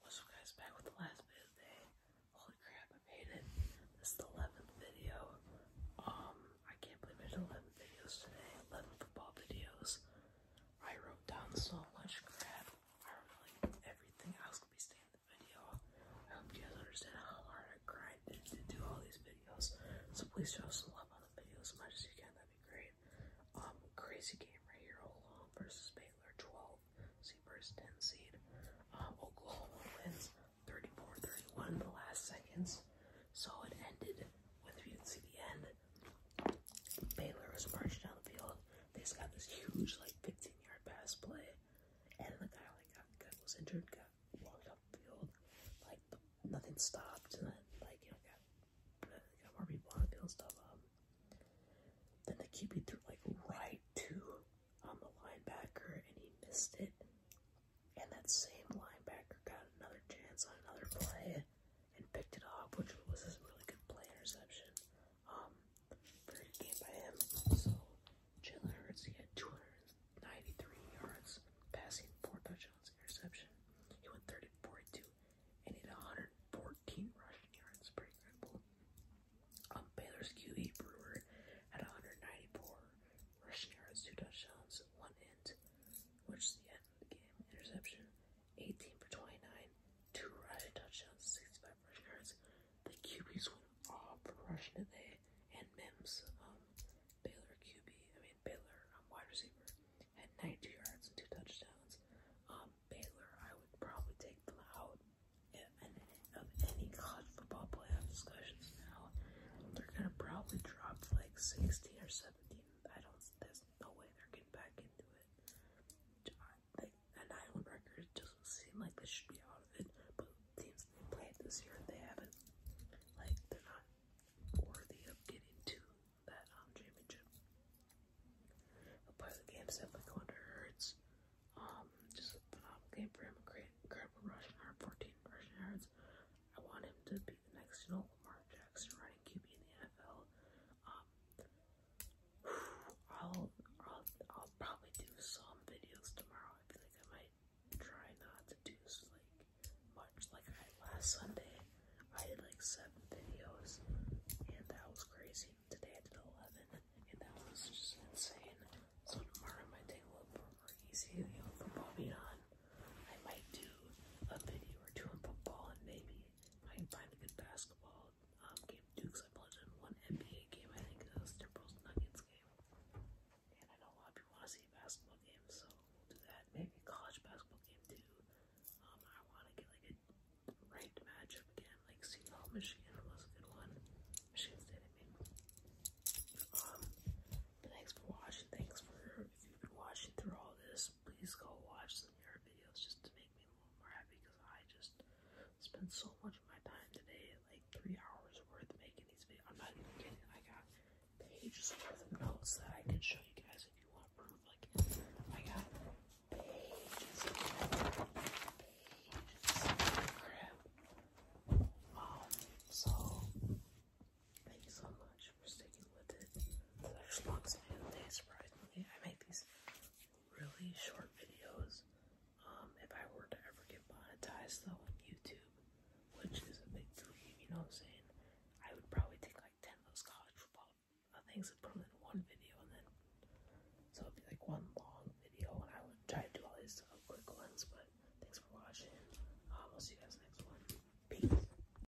What's up guys, back with the last bit of the day. Holy crap, I made it. This is the 11th video. Um, I can't believe I 11 videos today. 11 football videos. I wrote down so much crap. I wrote like everything I was going to be staying in the video. I hope you guys understand how hard I grinded to do all these videos. So please show us some love on the videos as much as you can. That'd be great. Um, crazy game right here. Oklahoma versus Baylor, 12 seed versus 10 seed. Um, Oklahoma wins 34-31 in the last seconds. So it ended with, if you can see the end, Baylor was marching down the field. They just got this huge, like, 15-yard pass play, and the guy like got, got was injured, got walked up the field. Like the nothing stopped, and like, you know, got, more people on field stuff um, Then the QB threw, like, right to on um, the linebacker, and he missed it. And that same linebacker got another chance on another play and picked it up, which was a really good play interception. Um, game by him. So, Jalen Hurts, he had 93 yards, passing four touchdowns, interception. He went 30 42 and had 114 rushing yards. Pretty incredible. Um, Baylor's QB Brewer had 194 rushing yards, two touchdowns, one end, which is the end of the game. Interception 18 for 29, two rushing touchdowns, 65 rushing yards. The QBs went off for rushing today and Mims, um, Baylor QB, I mean Baylor um, wide receiver, had 92 yards and two touchdowns. Um, Baylor, I would probably take them out of any college football playoff discussions now. They're gonna probably drop to like 16 or 17. I don't. There's no way they're getting back into it. Like a nine-win record doesn't seem like they should be out of it, teams they played this year, they haven't, like, they're not worthy of getting to that um, championship. A part of the game set by Um, just phenomenal game for him. Incredible rushing yard, rushing yards. I want him to be the next, you know, Lamar Jackson running QB in the NFL. Um, I'll, I'll, I'll probably do some videos tomorrow I feel like I might try not to do like much. Like last Sunday, I did like seven videos, and that was crazy. Today I did eleven, and that was just insane. So tomorrow I might take a little bit more easy, you know, on. I might do a video or two on football, and maybe I can find a good basketball um, game Dukes. I played in one NBA game. I think that was Timberwolves Nuggets game. And I know a lot of people want to see basketball games, so we'll do that. Maybe a college basketball game too. Um, I want to get like a ranked matchup again, like Seattle, Michigan was a good one. Michigan State, I mean. Um, but thanks for watching. Thanks for if you've been watching through all this. Please go watch some of your videos just to make me more happy because I just spent so much of my time today, like three hours worth making these videos. I'm not even kidding. I got pages worth of notes that I can show you guys if you want proof. Like I got pages, crap. Um, so thank you so much for sticking with it. actually looks me the day surprisingly. I make these really short videos. Um, if I were to ever get monetized though on YouTube, which is a big dream, you know what I'm saying? I would probably take like 10 of those college football uh, things and put them in one video, and then so it'd be like one long video, and I would try to do all these quick ones. But thanks for watching. Um, I'll see you guys next one. Peace.